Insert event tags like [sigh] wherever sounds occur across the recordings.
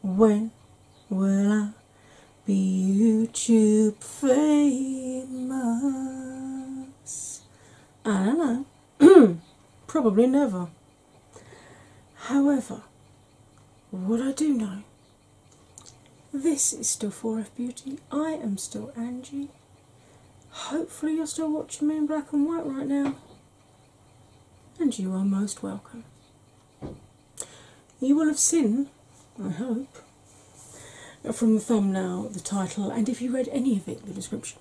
when will I be you? to I don't know. [clears throat] Probably never. However, what I do know, this is still 4F Beauty. I am still Angie. Hopefully, you're still watching me in black and white right now. And you are most welcome. You will have seen, I hope, from the thumbnail, the title, and if you read any of it, the description.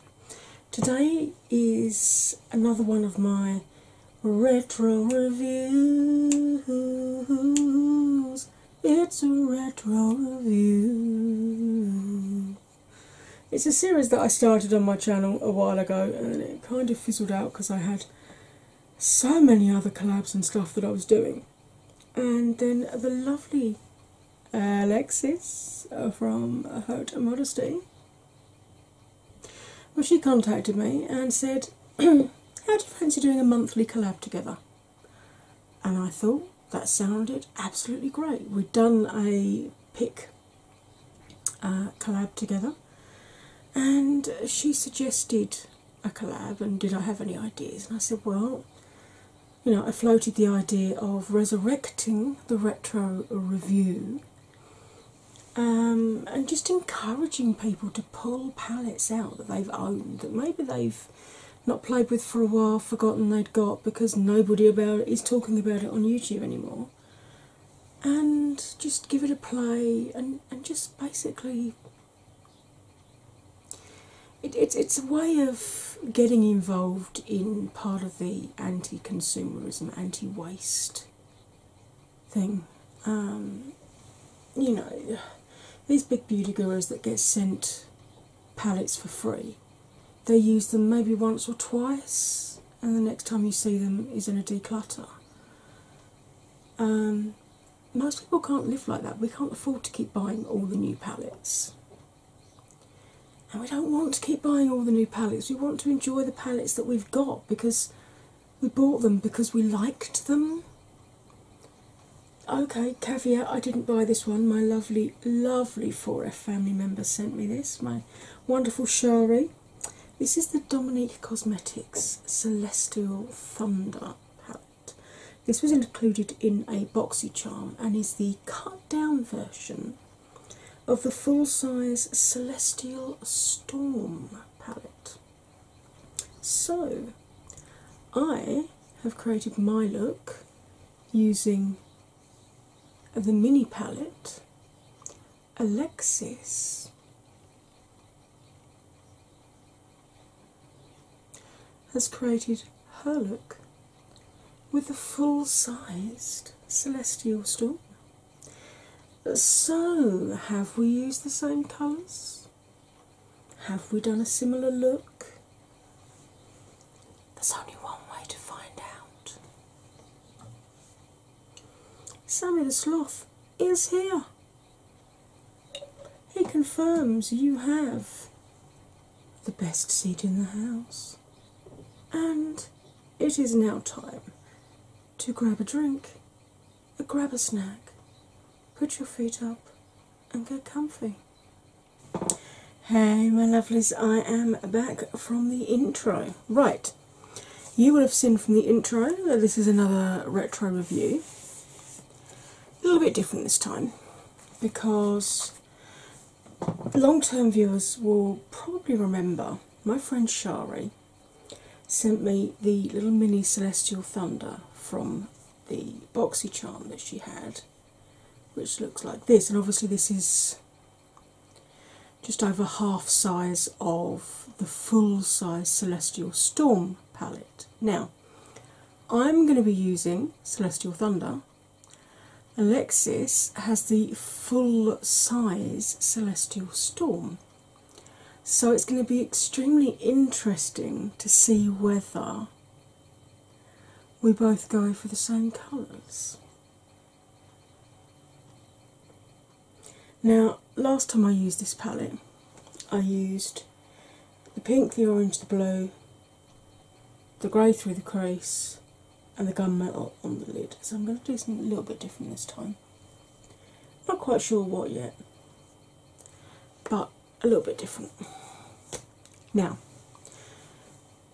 Today is another one of my retro reviews. It's a retro review. It's a series that I started on my channel a while ago and it kind of fizzled out because I had so many other collabs and stuff that I was doing and then the lovely Alexis uh, from Hurt and Modesty. Well, she contacted me and said, [clears throat] How do you fancy doing a monthly collab together? And I thought that sounded absolutely great. We'd done a pic uh, collab together, and she suggested a collab and did I have any ideas? And I said, well, you know, I floated the idea of resurrecting the retro review um, and just encouraging people to pull palettes out that they've owned, that maybe they've not played with for a while, forgotten they'd got because nobody about it is talking about it on YouTube anymore. And just give it a play and, and just basically it, it's a way of getting involved in part of the anti consumerism, anti waste thing. Um, you know, these big beauty gurus that get sent palettes for free, they use them maybe once or twice, and the next time you see them is in a declutter. Um, most people can't live like that. We can't afford to keep buying all the new palettes. And we don't want to keep buying all the new palettes. We want to enjoy the palettes that we've got because we bought them because we liked them. Okay, caveat, I didn't buy this one. My lovely, lovely 4F family member sent me this, my wonderful Shari. This is the Dominique Cosmetics Celestial Thunder palette. This was included in a boxy charm and is the cut down version of the full size Celestial Storm palette. So, I have created my look using the mini palette Alexis has created her look with the full sized celestial storm. So, have we used the same colours? Have we done a similar look? There's only one way to find out. Sammy the Sloth is here. He confirms you have the best seat in the house, and it is now time to grab a drink, grab a snack, put your feet up, and get comfy. Hey, my lovelies, I am back from the intro. Right, you will have seen from the intro that this is another retro review a little bit different this time because long term viewers will probably remember my friend Shari sent me the little mini celestial thunder from the boxy charm that she had, which looks like this, and obviously, this is just over half size of the full size celestial storm palette. Now, I'm going to be using Celestial Thunder. Alexis has the full size Celestial Storm. So it's going to be extremely interesting to see whether we both go for the same colours. Now, last time I used this palette, I used the pink, the orange, the blue, the grey through the crease, and the gunmetal on the lid. So I'm going to do something a little bit different this time. Not quite sure what yet, but a little bit different. Now,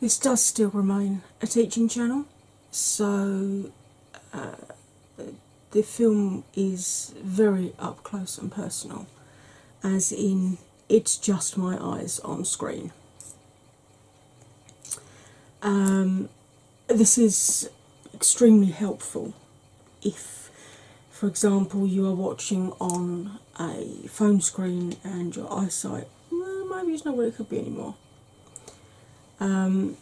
this does still remain a teaching channel, so uh, the film is very up close and personal, as in it's just my eyes on screen. Um, this is extremely helpful if, for example, you are watching on a phone screen and your eyesight well, maybe it's not what it could be anymore. Um,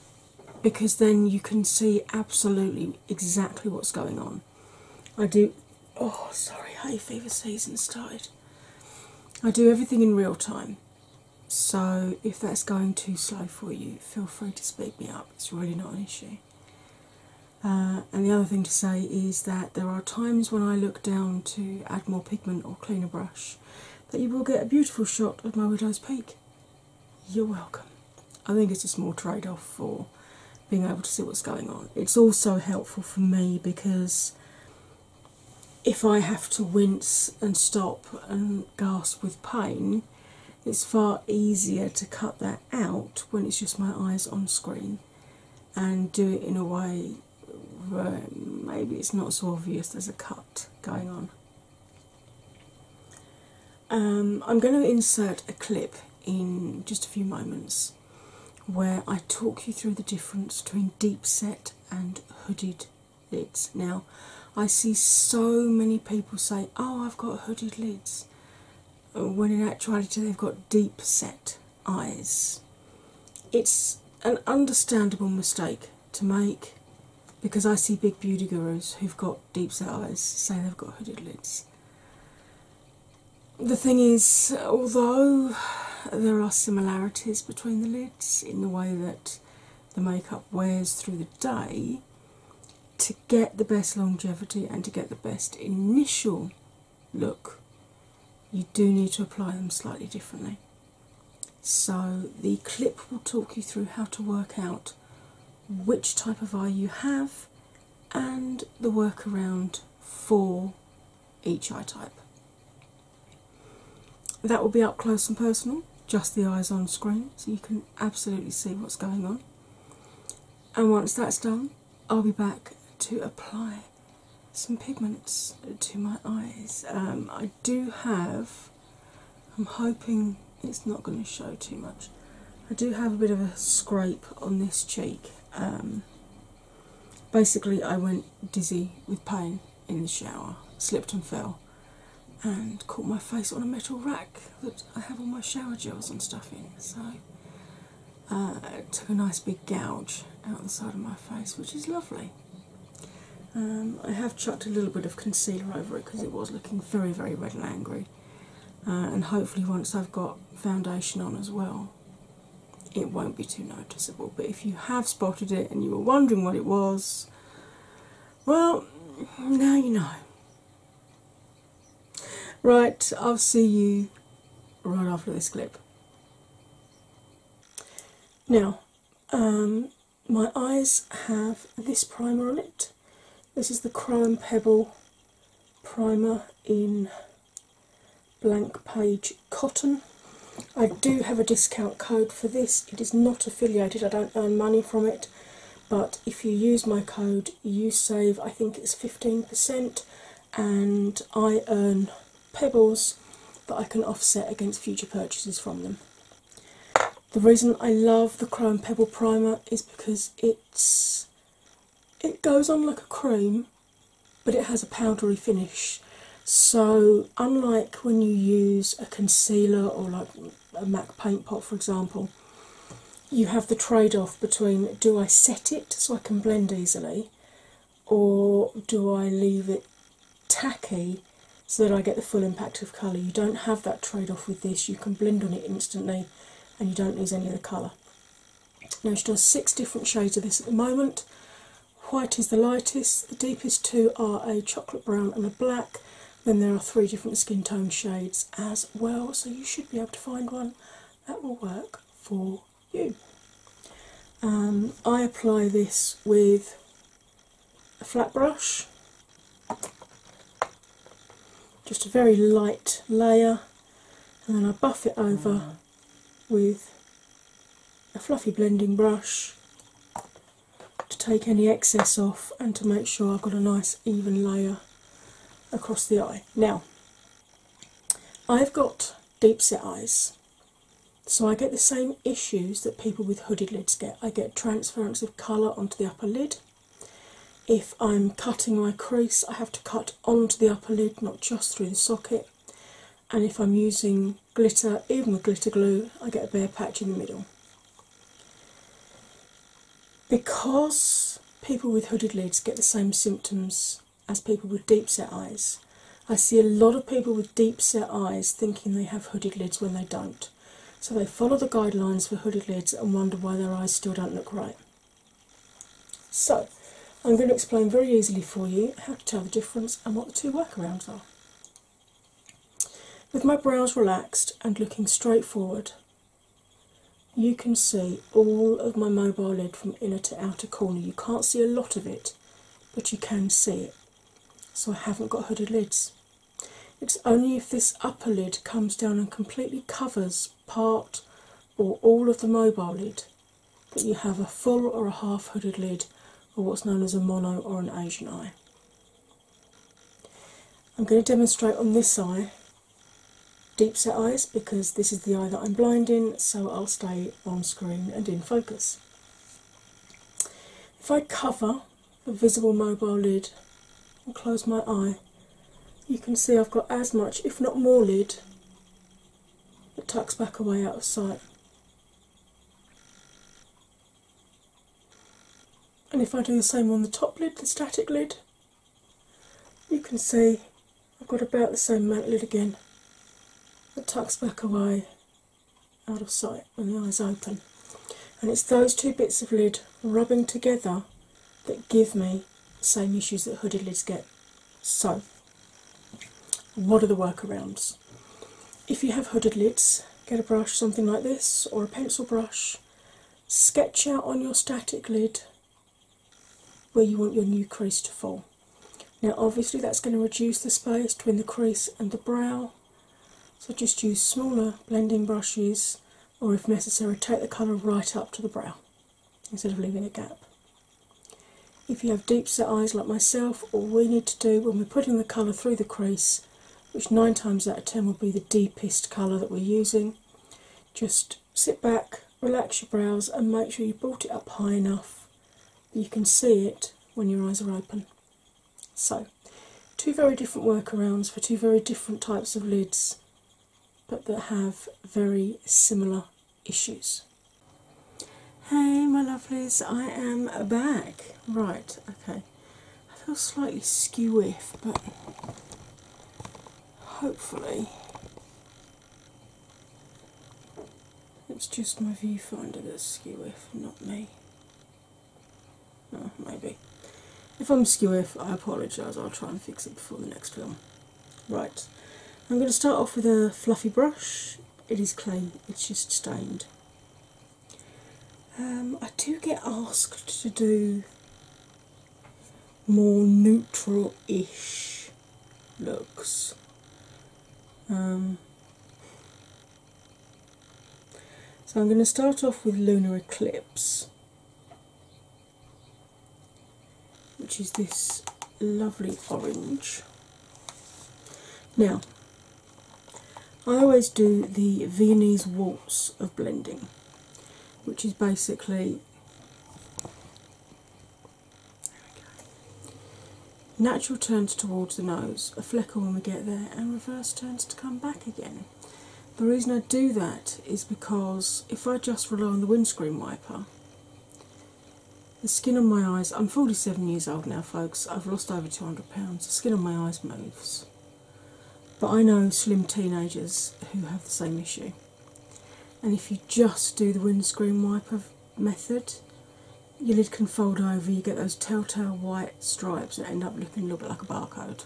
because then you can see absolutely exactly what's going on. I do. Oh, sorry, hay fever season started. I do everything in real time, so if that's going too slow for you, feel free to speed me up. It's really not an issue. Uh, and the other thing to say is that there are times when I look down to add more pigment or cleaner brush that you will get a beautiful shot of my widow's peak. You're welcome. I think it's a small trade off for being able to see what's going on. It's also helpful for me because if I have to wince and stop and gasp with pain, it's far easier to cut that out when it's just my eyes on screen and do it in a way where maybe it's not so obvious there's a cut going on. Um, I'm going to insert a clip in just a few moments where I talk you through the difference between deep set and hooded lids. Now, I see so many people say, Oh, I've got hooded lids, when in actuality they've got deep set eyes. It's an understandable mistake to make because I see big beauty gurus who've got deep set eyes say they've got hooded lids the thing is, although there are similarities between the lids in the way that the makeup wears through the day, to get the best longevity and to get the best initial look, you do need to apply them slightly differently. So, the clip will talk you through how to work out which type of eye you have and the workaround for each eye type. That will be up close and personal, just the eyes on screen, so you can absolutely see what's going on. And once that's done, I'll be back to apply some pigments to my eyes. Um, I do have, I'm hoping it's not going to show too much, I do have a bit of a scrape on this cheek um, basically, I went dizzy with pain in the shower, slipped and fell, and caught my face on a metal rack that I have all my shower gels and stuff in. So uh, took a nice big gouge out the side of my face, which is lovely. Um, I have chucked a little bit of concealer over it because it was looking very, very red and angry. Uh, and hopefully, once I've got foundation on as well, it won't be too noticeable. But if you have spotted it and you were wondering what it was, well, now you know. Right, I'll see you right after this clip. Now, um, my eyes have this primer on it. This is the Crime Pebble primer in Blank Page Cotton. I do have a discount code for this. It is not affiliated, I don't earn money from it, but if you use my code, you save I think it's 15%, and I earn pebbles that I can offset against future purchases from them. The reason I love the Chrome Pebble Primer is because it's it goes on like a cream but it has a powdery finish so unlike when you use a concealer or like a mac paint pot for example you have the trade-off between do i set it so i can blend easily or do i leave it tacky so that i get the full impact of colour you don't have that trade-off with this you can blend on it instantly and you don't lose any of the colour now she does six different shades of this at the moment. White is the lightest, the deepest two are a chocolate brown and a black. Then there are three different skin tone shades as well, so you should be able to find one that will work for you. Um, I apply this with a flat brush, just a very light layer, and then I buff it over with a fluffy blending brush to take any excess off and to make sure I've got a nice even layer across the eye. Now, I've got deep set eyes, so I get the same issues that people with hooded lids get. I get transference of colour onto the upper lid. If I'm cutting my crease, I have to cut onto the upper lid, not just through the socket. And if I'm using glitter, even with glitter glue, I get a bare patch in the middle. Because people with hooded lids get the same symptoms as people with deep set eyes, I see a lot of people with deep set eyes thinking they have hooded lids when they don't. So they follow the guidelines for hooded lids and wonder why their eyes still don't look right. So, I'm going to explain very easily for you how to tell the difference and what the two workarounds are. With my brows relaxed and looking straight forward, you can see all of my mobile lid from inner to outer corner. You can't see a lot of it, but you can see it. So, I haven't got hooded lids. It's only if this upper lid comes down and completely covers part or all of the mobile lid, but you have a full or a half hooded lid, or what's known as a mono or an Asian eye. I'm going to demonstrate on this eye deep set eyes because this is the eye that I'm blind in, so I'll stay on screen and in focus. If I cover the visible mobile lid and close my eye, you can see I've got as much, if not more, lid that tucks back away out of sight. And if I do the same on the top lid, the static lid, you can see I've got about the same amount lid again that tucks back away out of sight when the eyes open. And it's those two bits of lid rubbing together that give me the same issues that hooded lids get. So, what are the workarounds? If you have hooded lids, get a brush, something like this, or a pencil brush, sketch out on your static lid where you want your new crease to fall. Now, obviously, that's going to reduce the space between the crease and the brow, so just use smaller blending brushes, or if necessary, take the colour right up to the brow instead of leaving a gap. If you have deep set eyes like myself, all we need to do when we're putting the colour through the crease, which nine times out of ten will be the deepest colour that we're using, just sit back, relax your brows, and make sure you brought it up high enough that you can see it when your eyes are open. So, two very different workarounds for two very different types of lids but that have very similar issues. Hey, my lovelies, I am back. Right, okay. I feel slightly skew-if, but hopefully it's just my viewfinder that's skew-if, not me. Oh, maybe. If I'm skew-if, I apologise. I'll try and fix it before the next film. Right, I'm going to start off with a fluffy brush. It is clean, it's just stained. Um, I do get asked to do more neutral ish looks. Um, so I'm going to start off with Lunar Eclipse which is this lovely orange. Now, I always do the Viennese waltz of blending, which is basically natural turns towards the nose, a flicker when we get there, and reverse turns to come back again. The reason I do that is because if I just rely on the windscreen wiper, the skin on my eyes, I'm 47 years old now, folks. I've lost over 200 pounds. The skin on my eyes moves. But I know slim teenagers who have the same issue. And if you just do the windscreen wiper method, your lid can fold over, you get those telltale white stripes that end up looking a little bit like a barcode.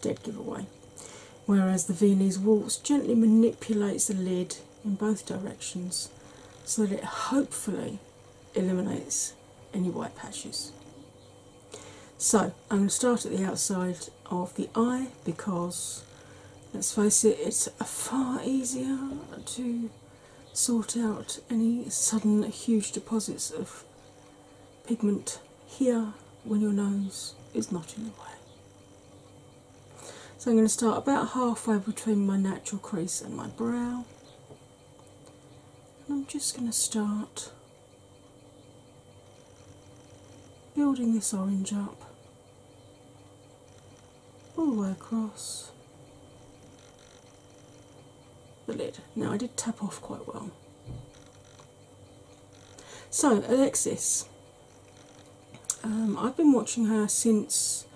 Dead giveaway whereas the Viennese waltz gently manipulates the lid in both directions so that it hopefully eliminates any white patches. So, I'm going to start at the outside of the eye because let's face it, it's far easier to sort out any sudden huge deposits of pigment here when your nose is not in the way. So I'm going to start about halfway between my natural crease and my brow. And I'm just going to start building this orange up all the way across the lid. Now I did tap off quite well. So, Alexis, um, I've been watching her since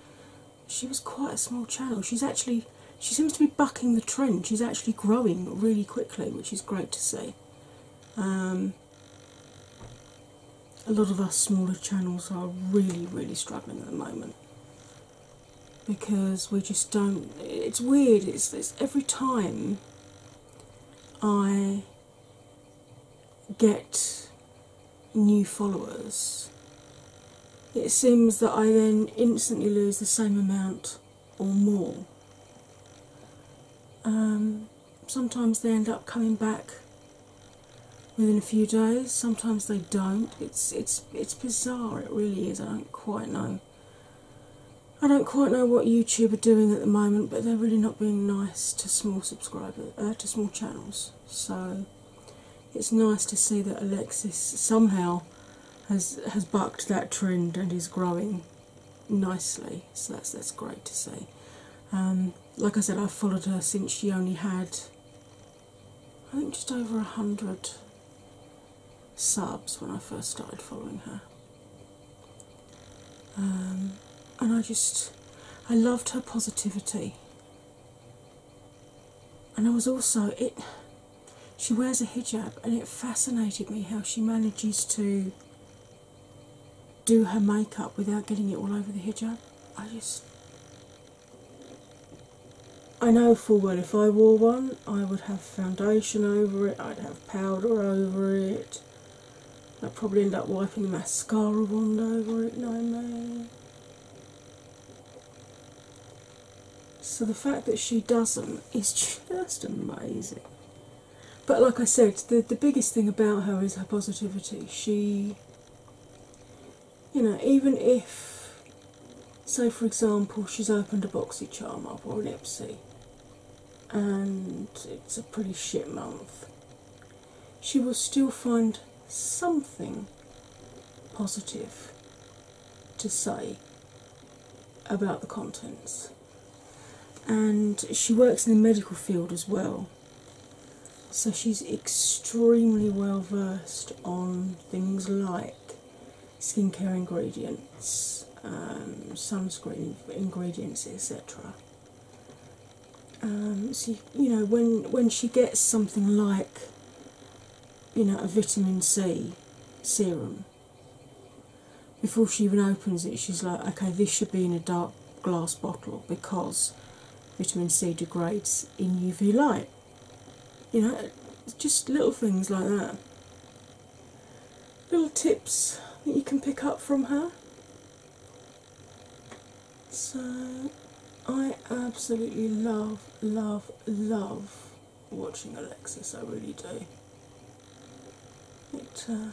she was quite a small channel. She's actually, she seems to be bucking the trend. She's actually growing really quickly, which is great to see. Um, a lot of us smaller channels are really, really struggling at the moment because we just don't. It's weird. it's every time I get new followers, it seems that I then instantly lose the same amount or more. Um, sometimes they end up coming back within a few days, sometimes they don't. It's it's it's bizarre, it really is. I don't quite know. I don't quite know what YouTube are doing at the moment, but they're really not being nice to small subscribers, uh, to small channels. So it's nice to see that Alexis somehow has has bucked that trend and is growing nicely. So that's that's great to see. Um, like I said, i followed her since she only had, I think, just over a hundred subs when I first started following her. Um, and I just, I loved her positivity. And I was also, it, she wears a hijab and it fascinated me how she manages to do her makeup without getting it all over the hijab. I just, I know full well if I wore one, I would have foundation over it, I'd have powder over it, I'll probably end up wiping mascara wand over it, no So the fact that she doesn't is just amazing. But like I said, the the biggest thing about her is her positivity. She you know, even if say for example she's opened a boxy charm up or an Epsy and it's a pretty shit month, she will still find something positive to say about the contents. And she works in the medical field as well, so she's extremely well versed on things like skincare ingredients, um, sunscreen ingredients, etc. Um, so you, you know when when she gets something like you know a vitamin C serum, before she even opens it, she's like, okay, this should be in a dark glass bottle because vitamin C degrades in UV light. You know, just little things like that. Little tips that you can pick up from her. So I absolutely love, love, love watching Alexis. I really do. It, uh,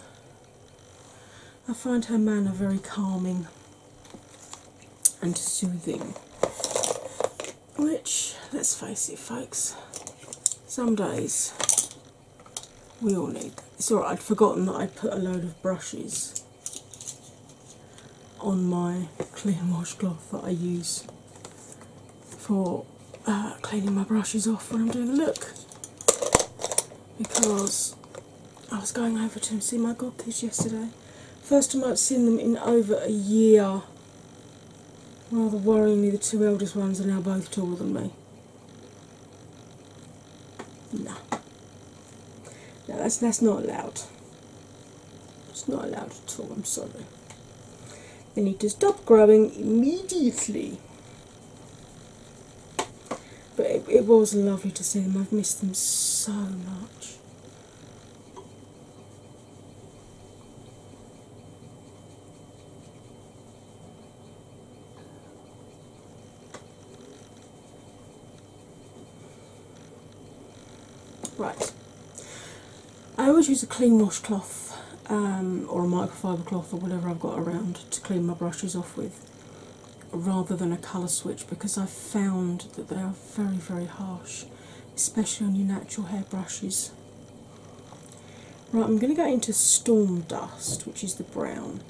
I find her manner very calming and soothing. Which, let's face it, folks, some days we all need. It's alright, I'd forgotten that I put a load of brushes on my clean washcloth that I use for uh, cleaning my brushes off when I'm doing a look because I was going over to see my godkids yesterday. First time I've seen them in over a year. Rather worryingly, the two eldest ones are now both taller than me. No. No, that's that's not allowed. It's not allowed at all, I'm sorry. They need to stop growing immediately. But it, it was lovely to see them. I've missed them so much. Right, I always use a clean washcloth um, or a microfiber cloth or whatever I've got around to clean my brushes off with rather than a colour switch because I've found that they are very, very harsh, especially on your natural hair brushes. Right, I'm going to go into Storm Dust, which is the brown.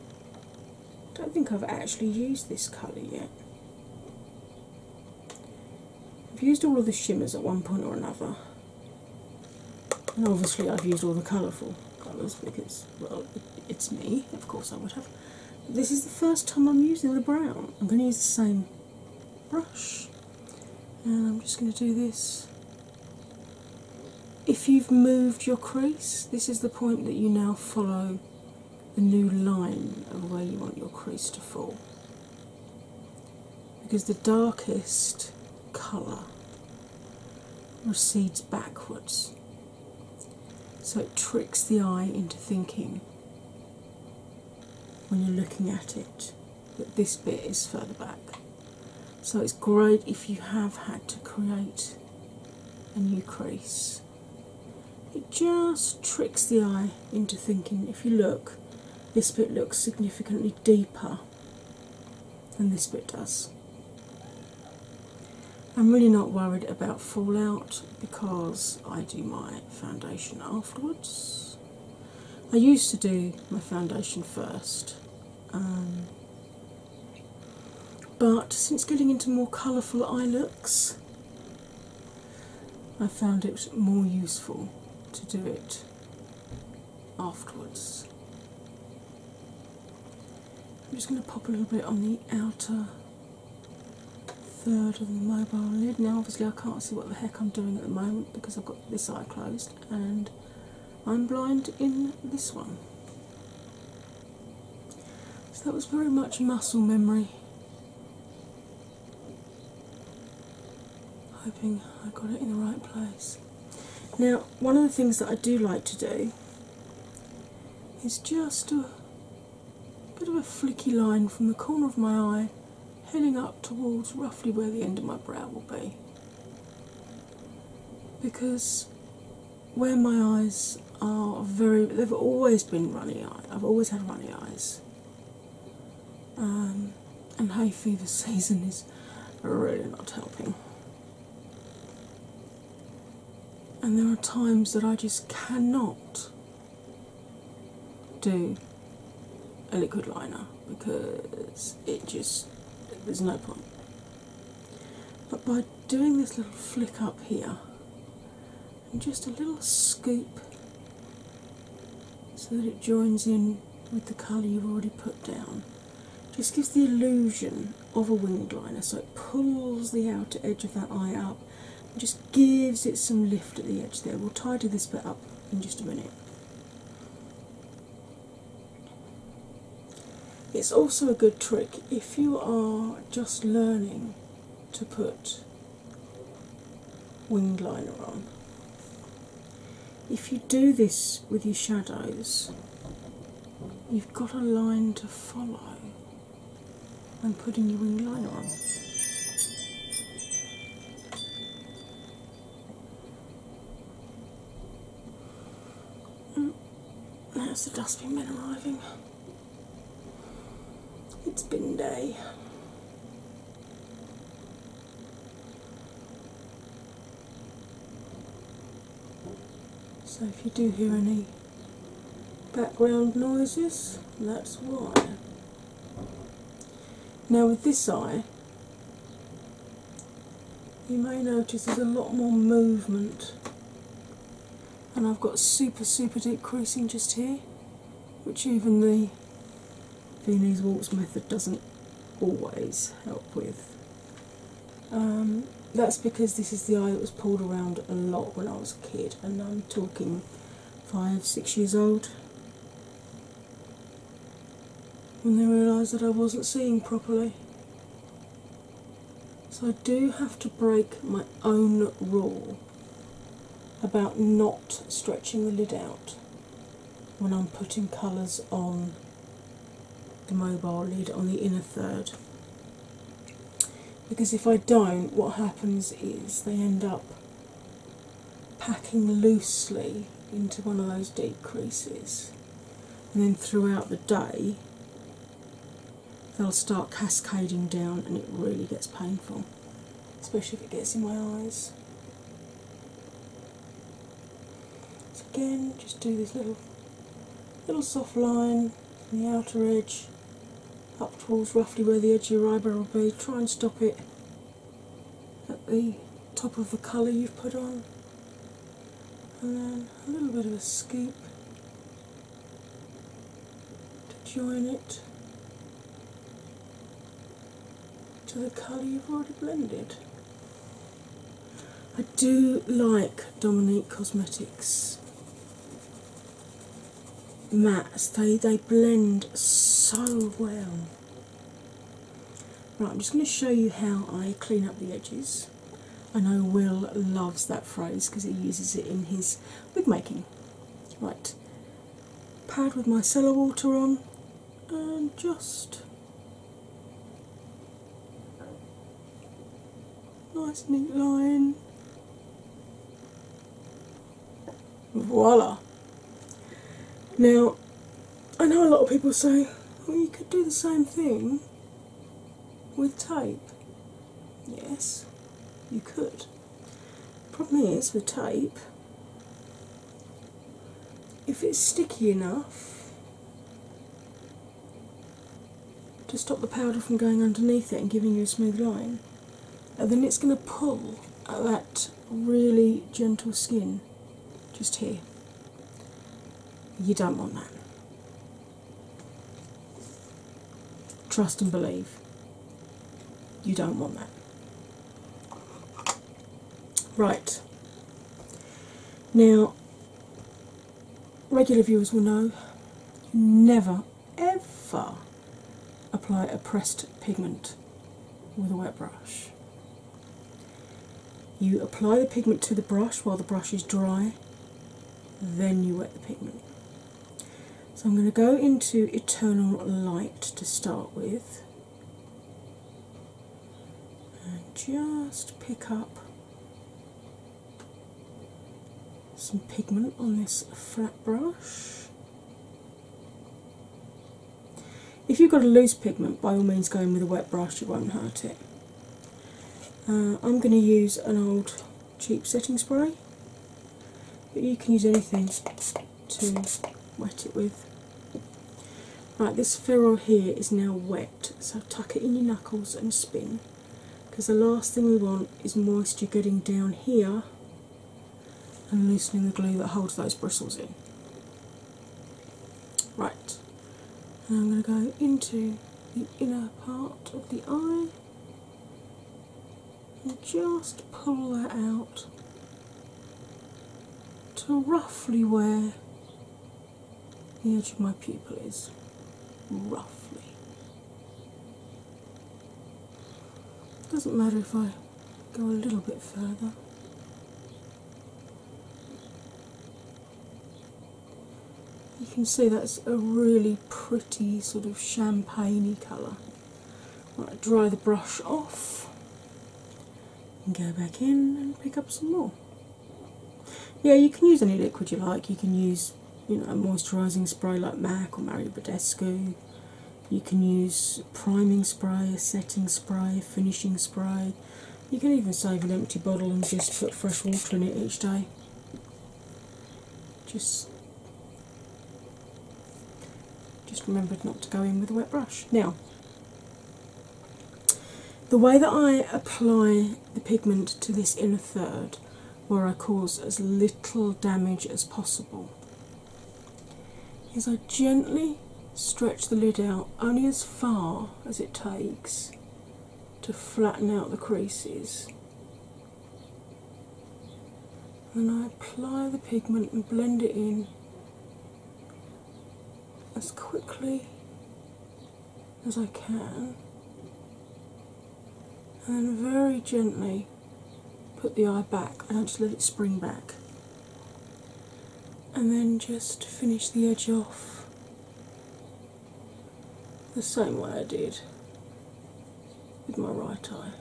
I Don't think I've actually used this colour yet. I've used all of the shimmers at one point or another, and obviously I've used all the colourful colours because, well, it's me. Of course, I would have. This is the first time I'm using the brown. I'm going to use the same brush, and I'm just going to do this if you've moved your crease, this is the point that you now follow the new line of where you want your crease to fall. Because the darkest colour recedes backwards, so it tricks the eye into thinking when you're looking at it that this bit is further back. So it's great if you have had to create a new crease. It just tricks the eye into thinking if you look, this bit looks significantly deeper than this bit does. I'm really not worried about fallout because I do my foundation afterwards. I used to do my foundation first, um, but since getting into more colourful eye looks, I found it more useful to do it afterwards. I'm just going to pop a little bit on the outer third of the mobile lid. Now, obviously, I can't see what the heck I'm doing at the moment because I've got this eye closed and I'm blind in this one. So that was very much muscle memory. Hoping I got it in the right place. Now, one of the things that I do like to do is just a bit of a flicky line from the corner of my eye heading up towards roughly where the end of my brow will be. Because where my eyes are very they've always been runny I've always had runny eyes. Um, and hay fever [laughs] season is really not helping. And there are times that I just cannot do a liquid liner because it just there's no point. But by doing this little flick up here and just a little scoop so that it joins in with the colour you've already put down, just gives the illusion of a winged liner. So it pulls the outer edge of that eye up and just gives it some lift at the edge there. We'll tidy this bit up in just a minute. It's also a good trick if you are just learning to put wing liner on. If you do this with your shadows, you've got a line to follow when putting your wing liner on. Mm. There's the dusty men arriving. It's been day. So if you do hear any background noises, that's why. Now with this eye, you may notice there's a lot more movement, and I've got super, super deep creasing just here, which even the Viennese Waltz method doesn't always help with. Um, that's because this is the eye that was pulled around a lot when I was a kid, and I'm talking five, six years old. When they realised that I wasn't seeing properly, so I do have to break my own rule about not stretching the lid out when I'm putting colours on the mobile lid on the inner third. Because if I don't, what happens is they end up packing loosely into one of those deep creases and then throughout the day they'll start cascading down and it really gets painful, especially if it gets in my eyes. So again, just do this little little soft line from the outer edge up towards roughly where the edge of your eyebrow will be. Try and stop it at the top of the colour you've put on and then a little bit of a scoop to join it to the colour you've already blended. I do like Dominique Cosmetics mattes, they, they blend so well. Right, I'm just going to show you how I clean up the edges. I know Will loves that phrase because he uses it in his wig making. Right, pad with my cellar water on and just nice neat line. Voila! Now, I know a lot of people say, well, you could do the same thing with tape. Yes, you could. Problem is with tape, if it's sticky enough to stop the powder from going underneath it and giving you a smooth line, then it's going to pull at that really gentle skin just here. You don't want that. Trust and believe. You don't want that. Right. Now, regular viewers will know never ever apply a pressed pigment with a wet brush. You apply the pigment to the brush while the brush is dry, then you wet the pigment. So I'm going to go into Eternal Light to start with and just pick up some pigment on this flat brush. If you've got a loose pigment, by all means, go in with a wet brush, it won't hurt it. Uh, I'm going to use an old cheap setting spray, but you can use anything to wet it with. Right, this ferrule here is now wet, so tuck it in your knuckles and spin because the last thing we want is moisture getting down here and loosening the glue that holds those bristles in. Right, I'm going to go into the inner part of the eye and just pull that out to roughly where the edge of my pupil is. Roughly. Doesn't matter if I go a little bit further you can see that's a really pretty sort of champagne colour. dry the brush off and go back in and pick up some more. Yeah, you can use any liquid you like. You can use you know a moisturising spray like MAC or Mario Badescu. You can use priming spray, a setting spray, finishing spray. You can even save an empty bottle and just put fresh water in it each day. Just just remembered not to go in with a wet brush. Now, the way that I apply the pigment to this inner third, where I cause as little damage as possible, is I gently stretch the lid out only as far as it takes to flatten out the creases. And I apply the pigment and blend it in as quickly as I can, and very gently put the eye back and just let it spring back. And then just finish the edge off the same way I did with my right eye.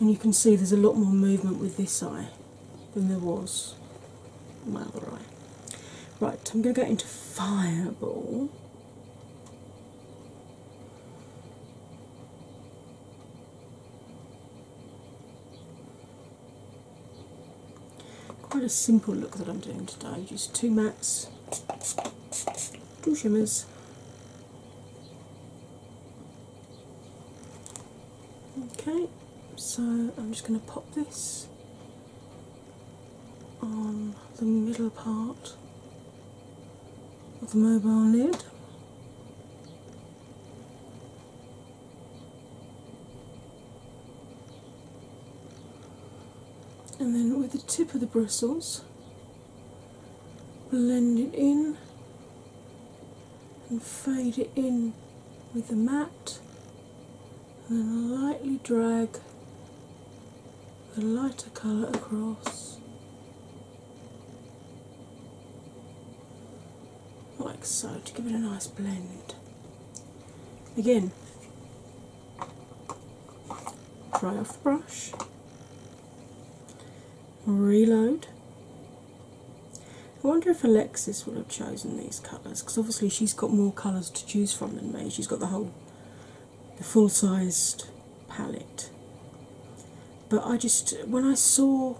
And you can see there's a lot more movement with this eye than there was my other eye. Right, I'm going to go into Fireball. Quite a simple look that I'm doing today, just two mattes, two shimmers. Okay, so I'm just going to pop this on the middle part of the mobile lid and then with the tip of the bristles, blend it in and fade it in with the matte, and then lightly drag the lighter colour across like so, to give it a nice blend. Again, dry off the brush, reload. I wonder if Alexis would have chosen these colours because obviously she's got more colours to choose from than me. She's got the whole, the full-sized palette. But I just, when I saw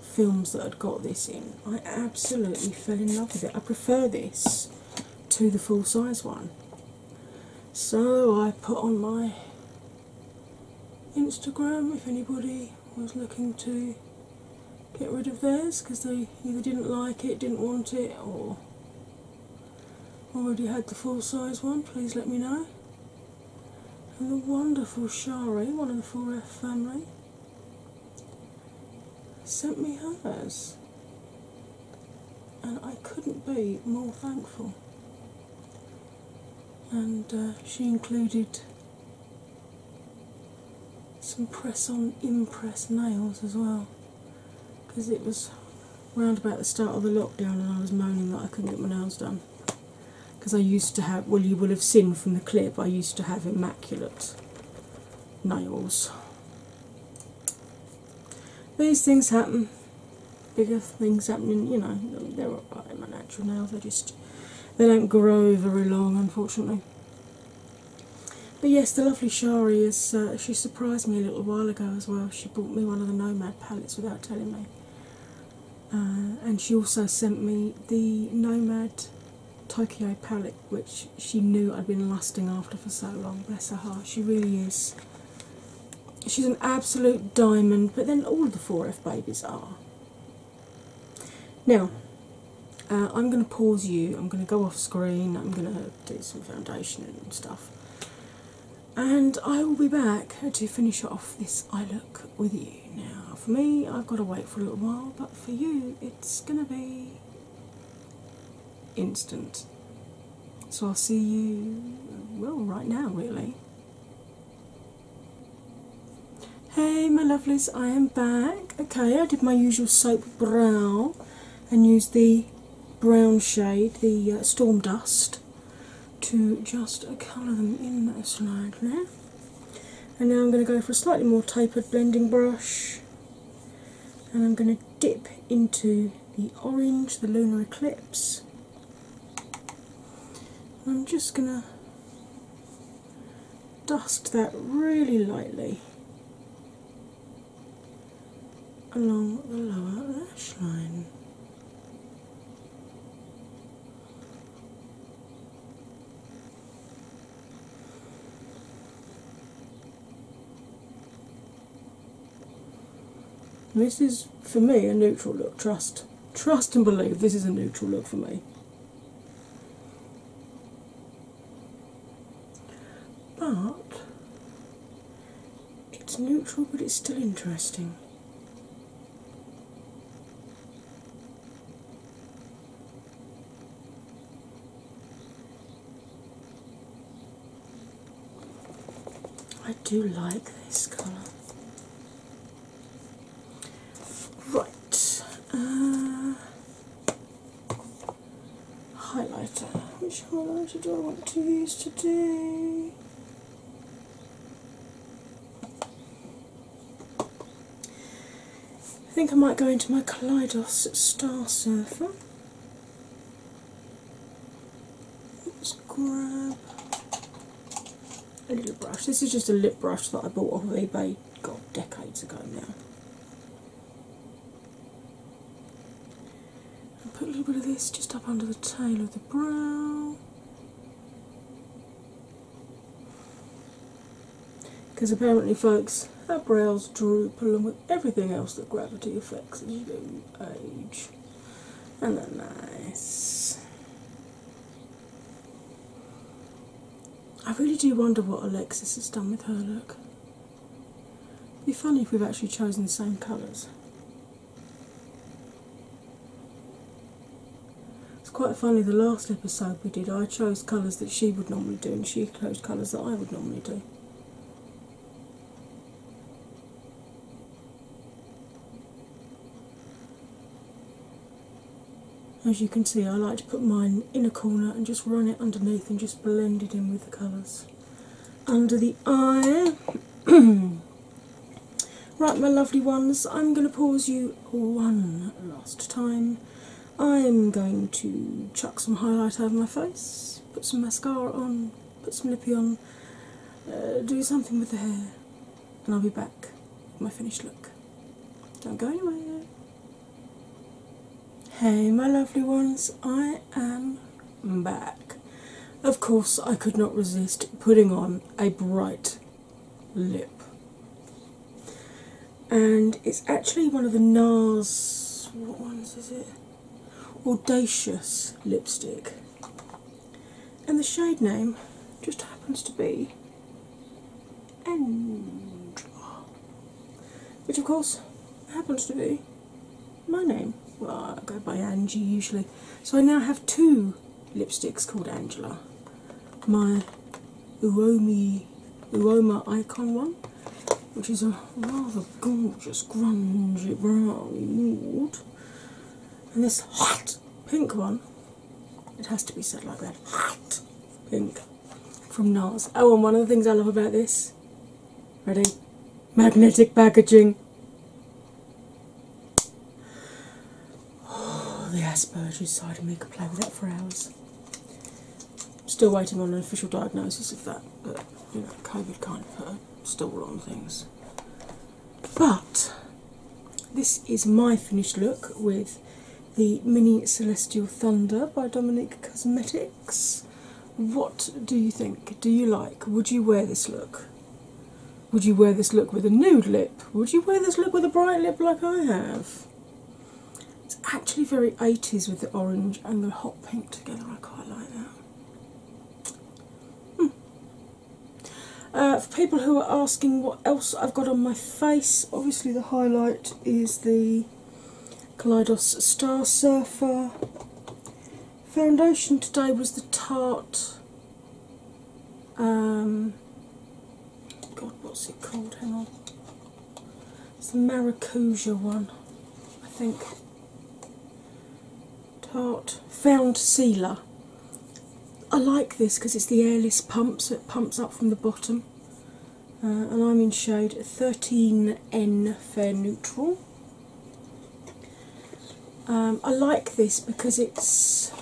films that had got this in, I absolutely fell in love with it. I prefer this to the full size one. So I put on my Instagram if anybody was looking to get rid of theirs because they either didn't like it, didn't want it, or already had the full size one, please let me know. And the wonderful Shari, one of the 4F family, sent me hers, and I couldn't be more thankful. And uh, she included some press on impress nails as well because it was round about the start of the lockdown and I was moaning that I couldn't get my nails done because I used to have well you will have seen from the clip I used to have immaculate nails. These things happen, bigger things happening, you know, they're alright in my natural nails, they just they don't grow very long unfortunately. But yes, the lovely Shari is uh, she surprised me a little while ago as well. She bought me one of the Nomad palettes without telling me. Uh, and she also sent me the Nomad Tokyo palette which she knew I'd been lasting after for so long. Bless her heart, she really is. She's an absolute diamond, but then all the 4F babies are. Now, uh, I'm going to pause you, I'm going to go off screen, I'm going to do some foundation and stuff. And I will be back to finish off this eye look with you. Now, for me, I've got to wait for a little while, but for you, it's going to be instant. So I'll see you, well, right now, really. Hey, my lovelies, I am back. Okay, I did my usual soap brow and used the brown shade, the uh, Storm Dust, to just uh, colour them in slightly. And now I'm going to go for a slightly more tapered blending brush and I'm going to dip into the orange, the lunar eclipse. I'm just going to dust that really lightly along the lower lash line this is for me a neutral look. Trust, trust and believe this is a neutral look for me. But it's neutral, but it's still interesting. I do like this colour. Right, uh, highlighter. Which highlighter do I want to use today? I think I might go into my Kaleidos Star Surfer. Let's grab a little brush. This is just a lip brush that I bought off of eBay decades ago now. put a little bit of this just up under the tail of the brow. Because apparently, folks, our brows droop along with everything else that gravity affects as you do age. And they're nice. I really do wonder what Alexis has done with her look. It'd be funny if we've actually chosen the same colours. It's quite funny, the last episode we did, I chose colours that she would normally do, and she few colours that I would normally do. As you can see, I like to put mine in a corner and just run it underneath and just blend it in with the colours. Under the eye. [clears throat] right, my lovely ones, I'm going to pause you one last time I'm going to chuck some highlight over my face, put some mascara on, put some lippy on, uh, do something with the hair, and I'll be back with my finished look. Don't go anywhere. Hey, my lovely ones, I am back. Of course, I could not resist putting on a bright lip and it's actually one of the NARS, Audacious lipstick. And the shade name just happens to be Angela, which of course happens to be my name. Well, I go by Angie usually. So I now have two lipsticks called Angela. My Uomi Uoma Icon one, which is a rather gorgeous grungy brown nude. And this hot pink one, it has to be said like that, hot pink from NARS. Oh, and one of the things I love about this, ready? Magnetic packaging. Oh, the Asperger's side of me could play with that for hours. Still waiting on an official diagnosis of that, but you know, COVID kind of put a stall on things. But this is my finished look with the Mini Celestial Thunder by Dominic Cosmetics. What do you think? Do you like? Would you wear this look? Would you wear this look with a nude lip? Would you wear this look with a bright lip like I have? It's actually very 80s with the orange and the hot pink together. I quite like that. Hmm. Uh, for people who are asking what else I've got on my face, obviously the highlight is the Kaleidos Star Surfer. Foundation today was the Tarte um, God, what's it called? Hang on. It's the Maracuja one, I think. Tart Found Sealer. I like this because it's the airless pump, so it pumps up from the bottom. Uh, and I'm in shade 13N Fair Neutral. Um, I like this because it's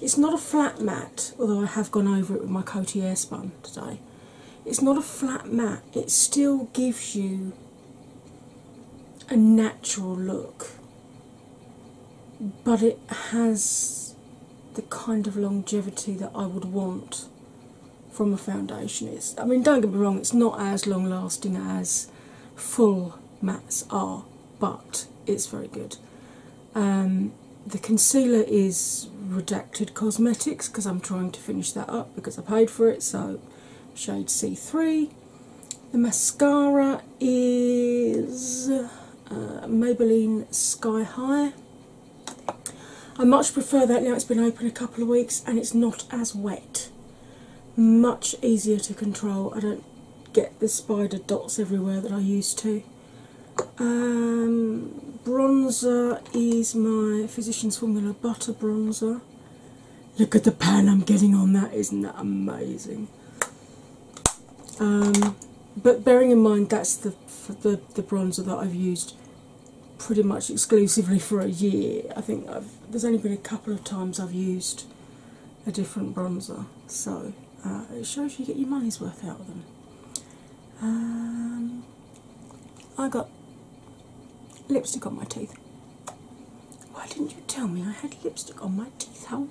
it's not a flat mat, although I have gone over it with my Coty Airspun today. It's not a flat mat. it still gives you a natural look, but it has the kind of longevity that I would want from a foundation. It's, I mean, don't get me wrong, it's not as long lasting as full mattes are, but it's very good. Um, the concealer is Redacted Cosmetics because I'm trying to finish that up because I paid for it, so shade C3. The mascara is uh, Maybelline Sky High. I much prefer that now it's been open a couple of weeks and it's not as wet. Much easier to control. I don't get the spider dots everywhere that I used to. Um, bronzer is my Physicians Formula Butter Bronzer. Look at the pan I'm getting on that, isn't that amazing? Um, but bearing in mind that's the, the, bronzer that I've used pretty much exclusively for a year. I think there's only been a couple of times I've used a different bronzer, so uh, it shows you get your money's worth out of them. Um, I got lipstick on my teeth. Why didn't you tell me I had lipstick on my teeth? How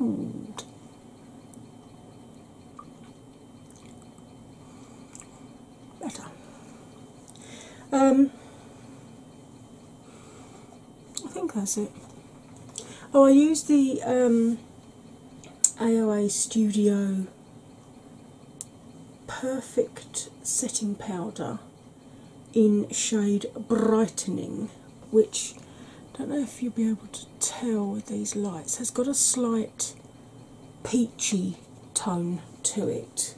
old? Better. Um, I think that's it. Oh, I used the um, AOA Studio perfect setting powder in shade brightening which i don't know if you'll be able to tell with these lights has got a slight peachy tone to it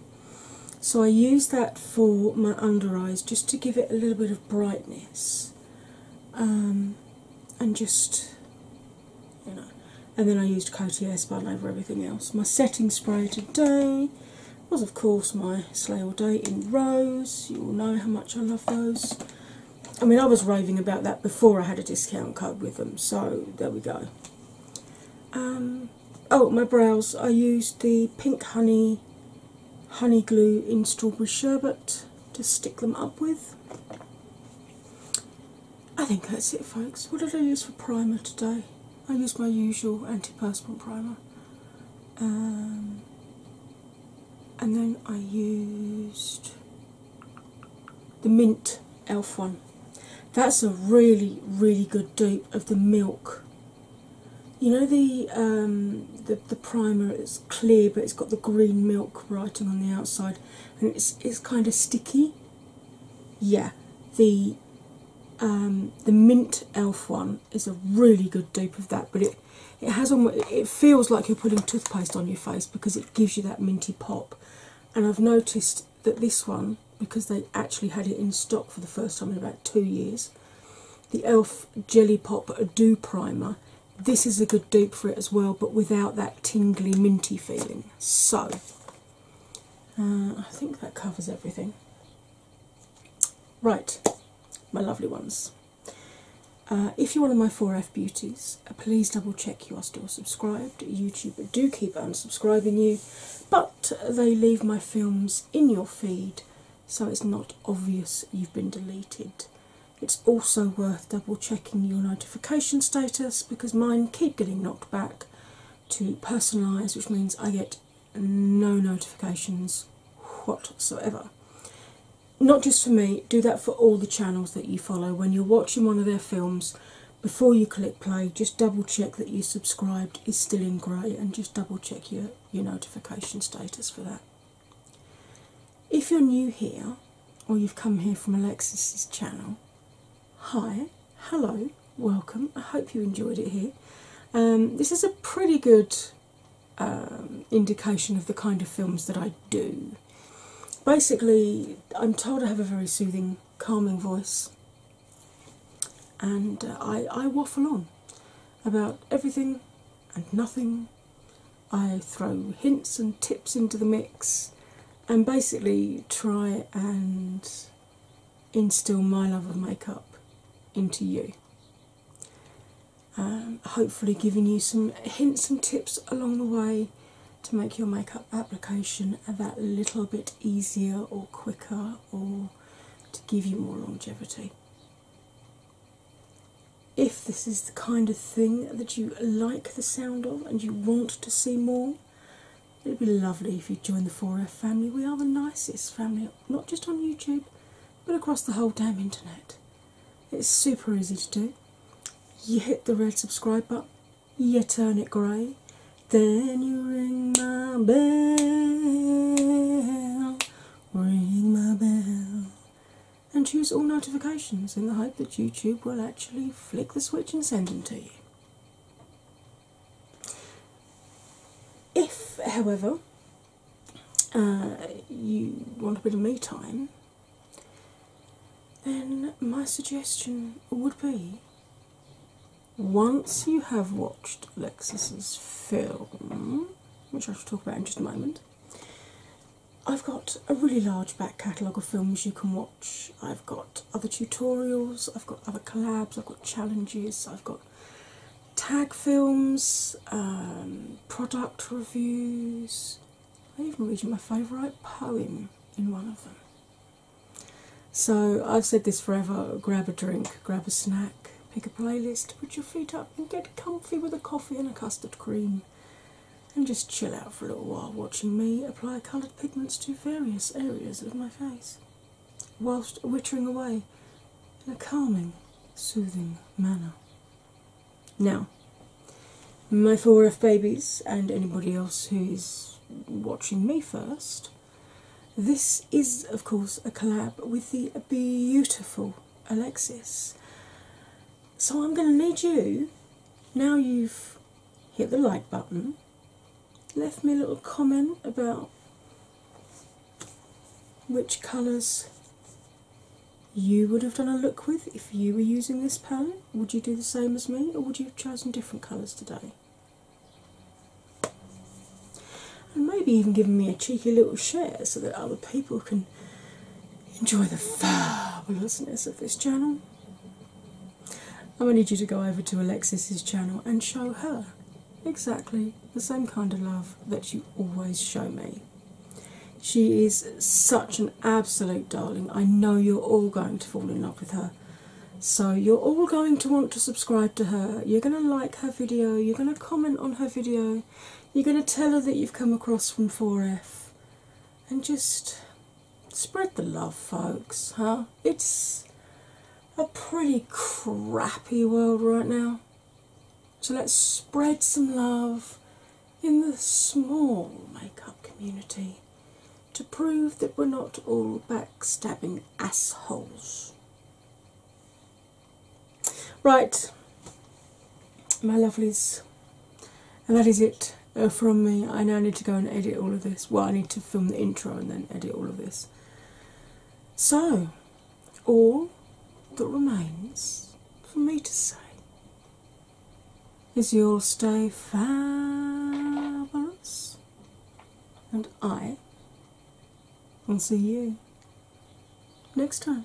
so i use that for my under eyes just to give it a little bit of brightness um, and just you know. And then I used Coty Spun over everything else. My setting spray today was, of course, my Slay All Day in Rose. You all know how much I love those. I mean, I was raving about that before I had a discount code with them, so there we go. Um, oh, my brows. I used the Pink Honey Honey Glue in Strawberry Sherbet to stick them up with. I think that's it, folks. What did I use for primer today? I used my usual anti-perspirant primer, um, and then I used the mint elf one. That's a really, really good dupe of the milk. You know the um, the the primer. It's clear, but it's got the green milk writing on the outside and it's it's kind of sticky. Yeah, the um, the mint elf one is a really good dupe of that, but it it has on it feels like you're putting toothpaste on your face because it gives you that minty pop. And I've noticed that this one, because they actually had it in stock for the first time in about two years, the elf jelly pop dew primer this is a good dupe for it as well, but without that tingly, minty feeling. So, uh, I think that covers everything. Right, my lovely ones. Uh, if you're one of my 4F beauties, uh, please double check you are still subscribed. YouTube do keep unsubscribing you, but they leave my films in your feed so it's not obvious you've been deleted. It's also worth double checking your notification status because mine keep getting knocked back to personalise, which means I get no notifications whatsoever. Not just for me, do that for all the channels that you follow. When you're watching one of their films, before you click play, just double check that you subscribed is still in grey and just double check your, your notification status for that. If you're new here or you've come here from Alexis's channel, hi, hello, welcome. I hope you enjoyed it here. Um, this is a pretty good um, indication of the kind of films that I do. Basically, I'm told I have a very soothing, calming voice, and uh, I waffle on about everything and nothing I throw hints and tips into the mix and basically try and instill my love of makeup into you. Um, hopefully, giving you some hints and tips along the way to make your makeup application that little bit easier or quicker or to give you more longevity. If this is the kind of thing that you like the sound of and you want to see more, it'd be lovely if you joined the 4F family. We are the nicest family, not just on YouTube, but across the whole damn internet. It's super easy to do. You hit the red subscribe button, you turn it grey, then you ring my bell, ring my bell and choose all notifications in the hope that YouTube will actually flick the switch and send them to you. If, however, uh, you want a bit of me time, then my suggestion would be once you have watched Lexus's film, which I shall talk about in just a moment, I've got a really large back catalogue of films you can watch. I've got other tutorials, I've got other collabs, I've got challenges, I've got tag films, um, product reviews. I even read you my favourite poem in one of them. So I've said this forever grab a drink, grab a snack, pick a playlist, put your feet up, and get comfy with a coffee and a custard cream and just chill out for a little while watching me apply coloured pigments to various areas of my face, whilst wittering away in a calming, soothing manner. Now, my 4F babies and anybody else who is watching me first, this is of course a collab with the beautiful Alexis. So I'm going to need you, now you've hit the like button, left me a little comment about which colours you would have done a look with if you were using this palette. Would you do the same as me or would you have chosen different colours today? And maybe even giving me a cheeky little share so that other people can enjoy the fabulousness of this channel. I'm going to need you to go over to Alexis's channel and show her exactly the same kind of love that you always show me. She is such an absolute darling. I know you're all going to fall in love with her. So, you're all going to want to subscribe to her. You're going to like her video. You're going to comment on her video. You're going to tell her that you've come across from 4F. And just Spread the love, folks, huh? It's a pretty crappy world right now. So let's spread some love in the small makeup community to prove that we're not all backstabbing assholes. Right, my lovelies, and that is it uh, from me. I now need to go and edit all of this. Well, I need to film the intro and then edit all of this. So, all that remains for me to say is you'll stay fabulous, and I will see you next time.